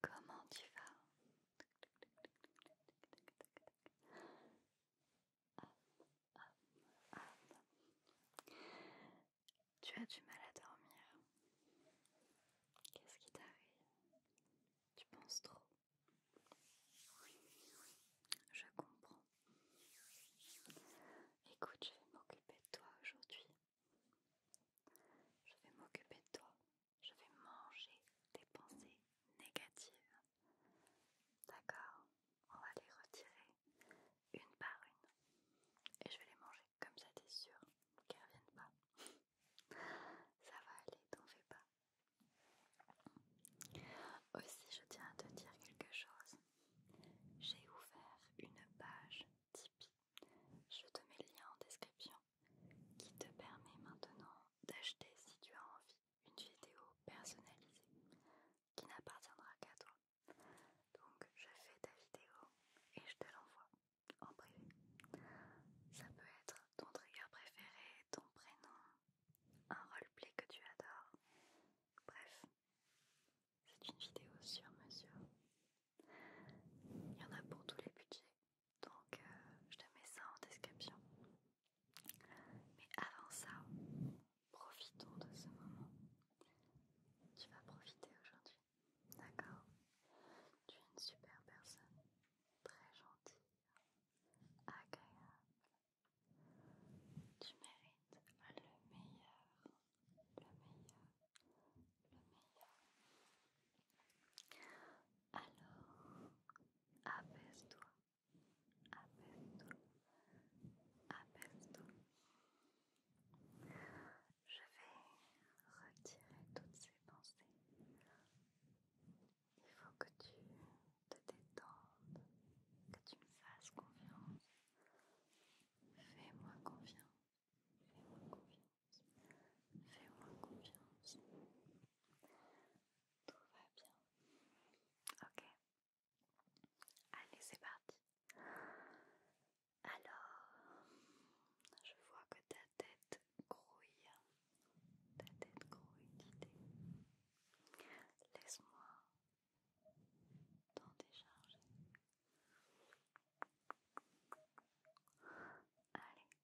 Comment tu vas Tu as du mal à dormir. Qu'est-ce qui t'arrive Tu penses trop. Je comprends. Écoute, je vais m'occuper de toi aujourd'hui. Je vais m'occuper de toi. Je vais manger tes pensées négatives. D'accord On va les retirer une par une. Et je vais les manger comme ça, t'es sûr qu'elles reviennent pas. ça va aller, t'en fais pas. Aussi, je tiens à te dire quelque chose. J'ai ouvert une page Tipeee je te mets le lien en description qui te permet maintenant d'acheter si tu as envie une vidéo personnalisée qui n'appartiendra qu'à toi. Donc je fais ta vidéo et je te l'envoie en privé. Ça peut être ton trigger préféré, ton prénom, un roleplay que tu adores. Bref, c'est une vidéo sur mesure il y en a pour tous les budgets, donc euh, je te mets ça en description. Mais avant ça, profitons de ce moment. Tu vas profiter aujourd'hui, d'accord Tu es une super personne, très gentille, agréable. Tu mérites le meilleur, le meilleur le meilleur. Alors, apaise-toi, apaise-toi, apaise-toi. Je vais retirer toutes ces pensées. Il faut que tu te détendes, que tu me fasses confiance. Fais-moi confiance. Fais-moi confiance. Fais-moi confiance. Tout va bien. Ok. Allez, c'est parti. Alors, je vois que ta tête grouille. Ta tête grouille Laisse-moi t'en décharger. Allez,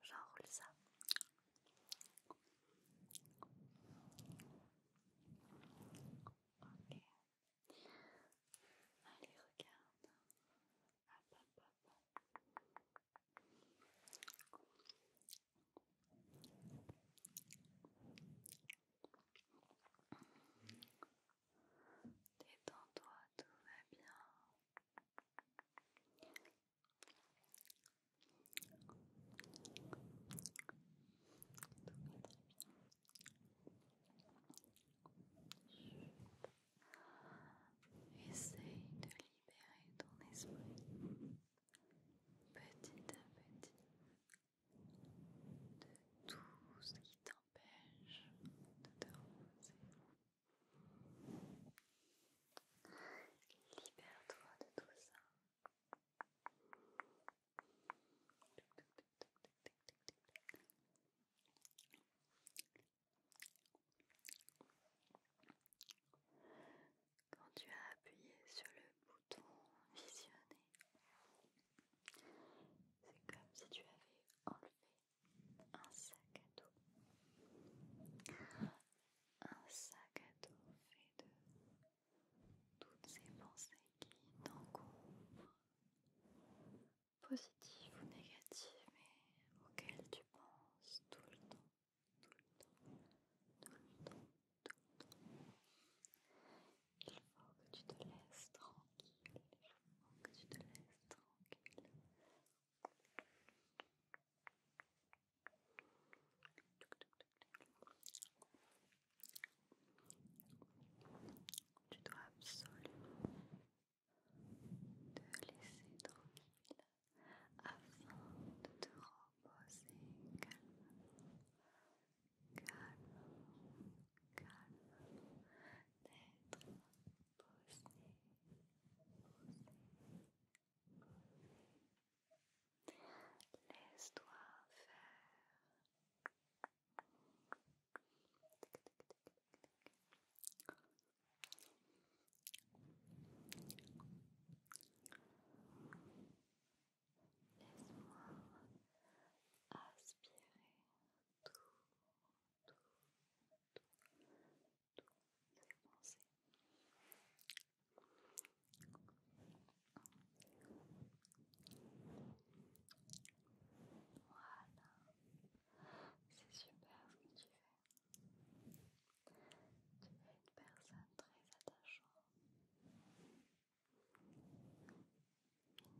j'enroule ça. Allez, regarde. Détends-toi, tout va bien. Essaye de libérer ton esprit petit à petit de tout ce qui t'empêche de te reposer. Libère-toi de tout ça. Quand tu as appuyé sur le bouton visionner, c'est comme si tu avais enlevé un sac à dos. Un sac à dos fait de toutes ces pensées qui t'encombrent, positives ou négatives, mais auxquelles tu penses tout le temps, tout le temps, tout le temps, tout le temps. Il faut que tu te laisses tranquille, il faut que tu te laisses tranquille tu dois absolument te laisser tranquille afin de te reposer calmement, calmement, calmement, d'être Bosnie, Bosnie, Bosnie. Laisse-toi faire. Laisse-moi aspirer tout, tout, tout c'est super ce que tu fais. Tu es une personne très attachante, une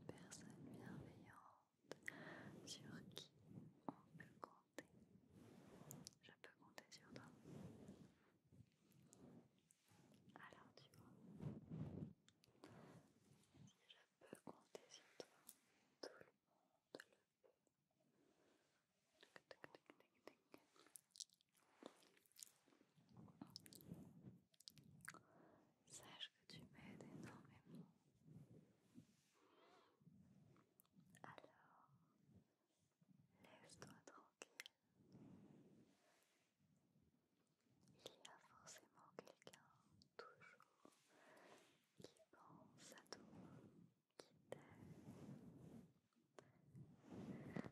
personne bienveillante sur qui on peut compter. Je peux compter sur toi. Alors tu vois, si je peux compter sur toi, tout le monde le peut. Sache que tu m'aides énormément. Alors, laisse-toi tranquille. Il y a forcément quelqu'un toujours qui pense à toi, qui t'aime. Une personne bienveillante qui pourra toujours t'aider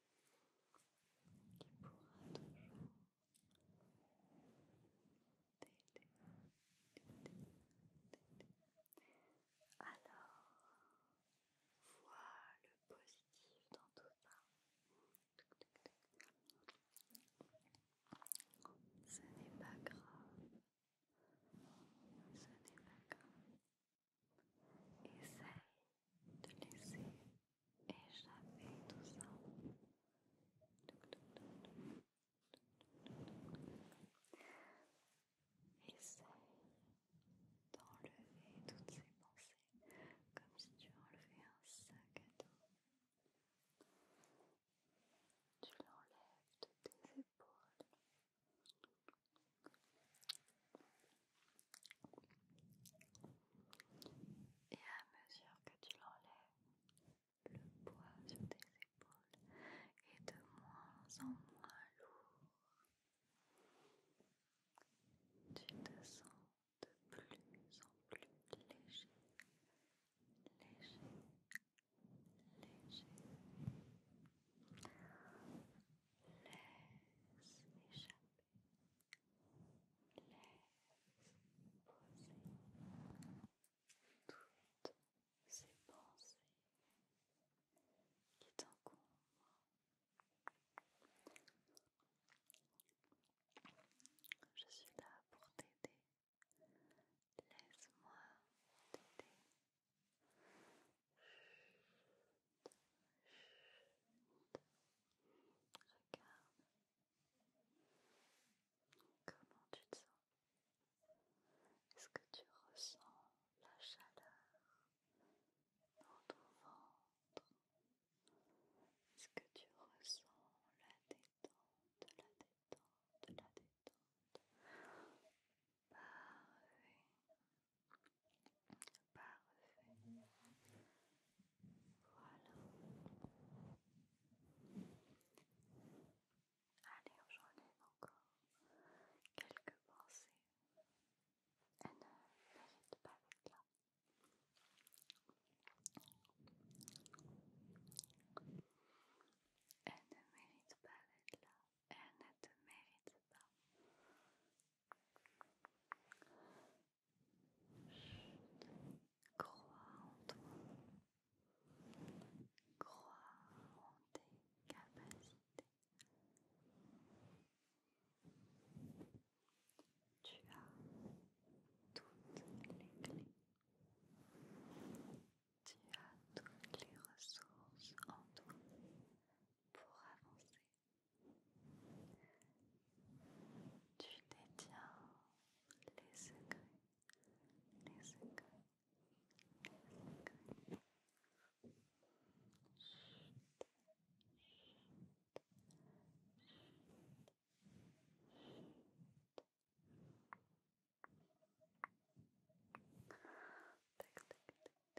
qui pourra toujours t'aider. Alors, vois le positif dans tout ça. Ce n'est pas grave. Ce n'est pas grave. Essaye de laisser échapper tout ça. Essaye d'enlever toutes ces pensées comme si tu enlevais un sac à dos. Tu l'enlèves de tes épaules, et à mesure que tu l'enlèves, le poids sur tes épaules est de moins en moins lourd. Tu te sens de plus en plus léger, léger, léger. Laisse échapper. Laisse poser toutes ces pensées qui t'encombrent. Je suis là pour t'aider. Laisse-moi t'aider. Regarde comment tu te sens. Est-ce que tu ressens la chaleur dans ton ventre Est-ce que tu ressens la détente, la détente, la détente Parfait. Bah Parfait. Voilà. Allez, aujourd'hui encore quelques pensées. Elle ah, ne mérite pas d'être là. Elle ne mérite pas d'être là. Elle ne te mérite pas. Crois en toi. Crois en tes capacités. Tu as toutes les clés. Tu as toutes les ressources en toi pour avancer. Tu détiens les secrets, les secrets, Regarde,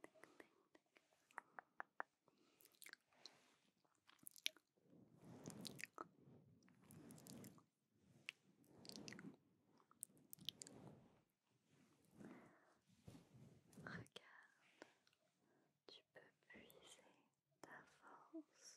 tu peux puiser ta force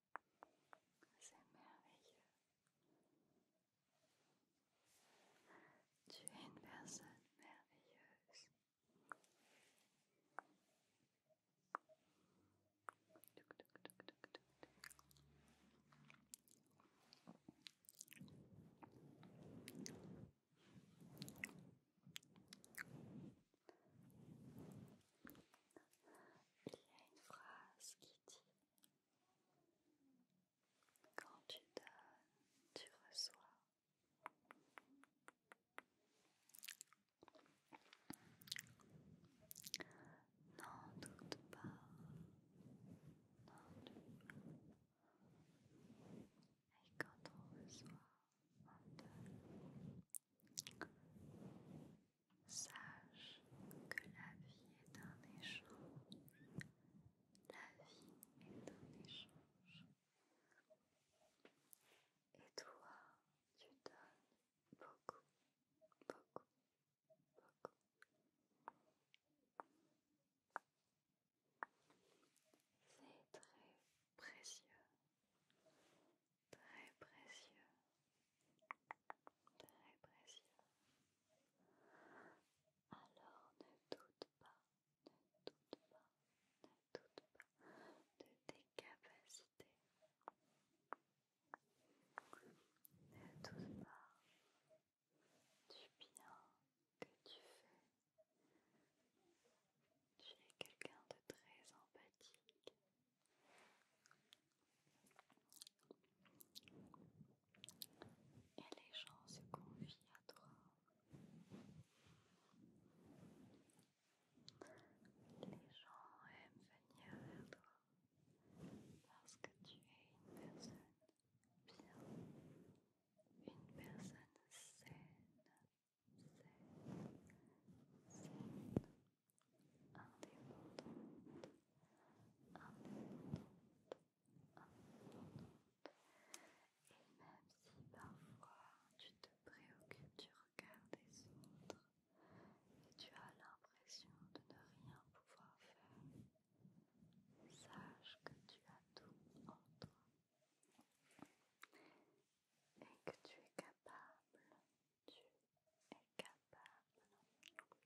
C'est merveilleux. Tu es une personne merveilleuse. Il y a une phrase qui dit Quand tu donnes, tu reçois. N'en doute pas. N'en doute pas. Et quand on reçoit, on donne. Sache que la vie est un échange. La vie est un échange. Et toi, tu donnes beaucoup, beaucoup, beaucoup. C'est très précieux très précieux, très précieux. Alors ne doute pas, ne doute pas, ne doute pas de tes capacités. Ne doute pas du bien que tu fais. Tu es quelqu'un de très empathique, et les gens se confient à toi. Les gens aiment venir vers toi parce que tu es une personne bien, une personne saine, saine, saine indépendante, Et même si parfois tu te préoccupes du regard des autres et tu as l'impression de ne rien pouvoir faire, sache que tu as tout entre, toi et que tu es capable tu es capable alors apaise ton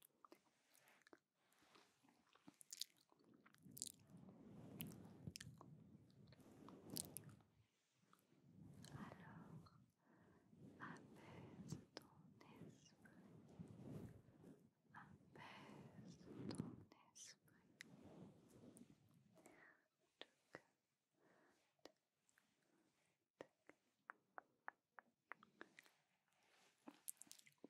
esprit apaise ton esprit non, non, non, non, non. Laissez laissez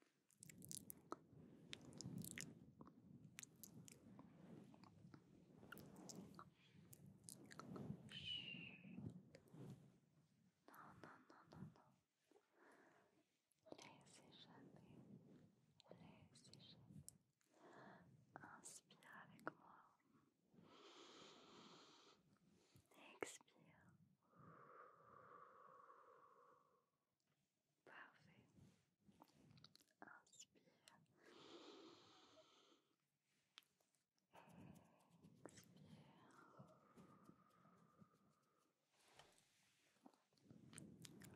Inspire avec moi. Expire. Parfait. Inspire. Expire.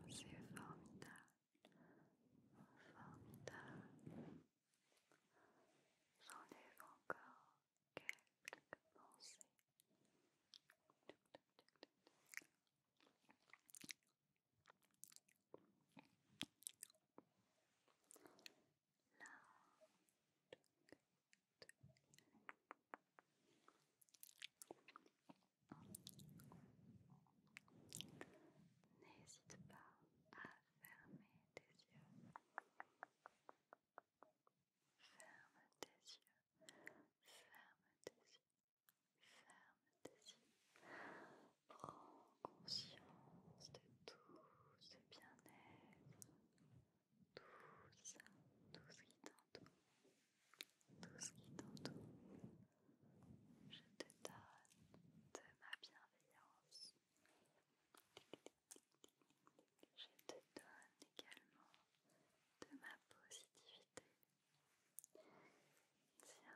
C'est formidable. Formidable. J'enlève encore quelques pensées. Là. N'hésite pas à Ferme tes yeux. Ferme tes yeux. Ferme tes yeux. Ferme tes yeux. Prends conscience de tout ce bien-être. Tout ça, tout ce qui t'entoure. Tout ce qui t'entoure. Je te donne de ma bienveillance. Je te donne également de ma positivité. Tiens.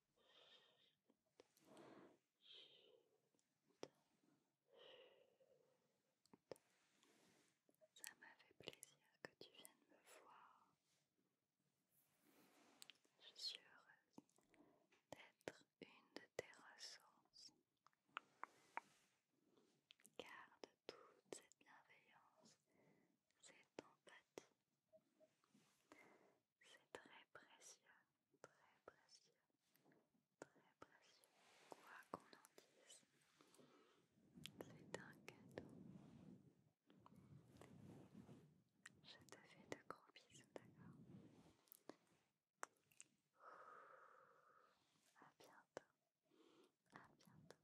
Ça m'a fait plaisir que tu viennes me voir. Je suis heureuse d'être une de tes ressources. Garde toute cette bienveillance, cette empathie, c'est très précieux, très précieux, très précieux. Quoi qu'on en dise, c'est un cadeau. Je te fais de gros bisous, d'accord À bientôt, à bientôt, à bientôt.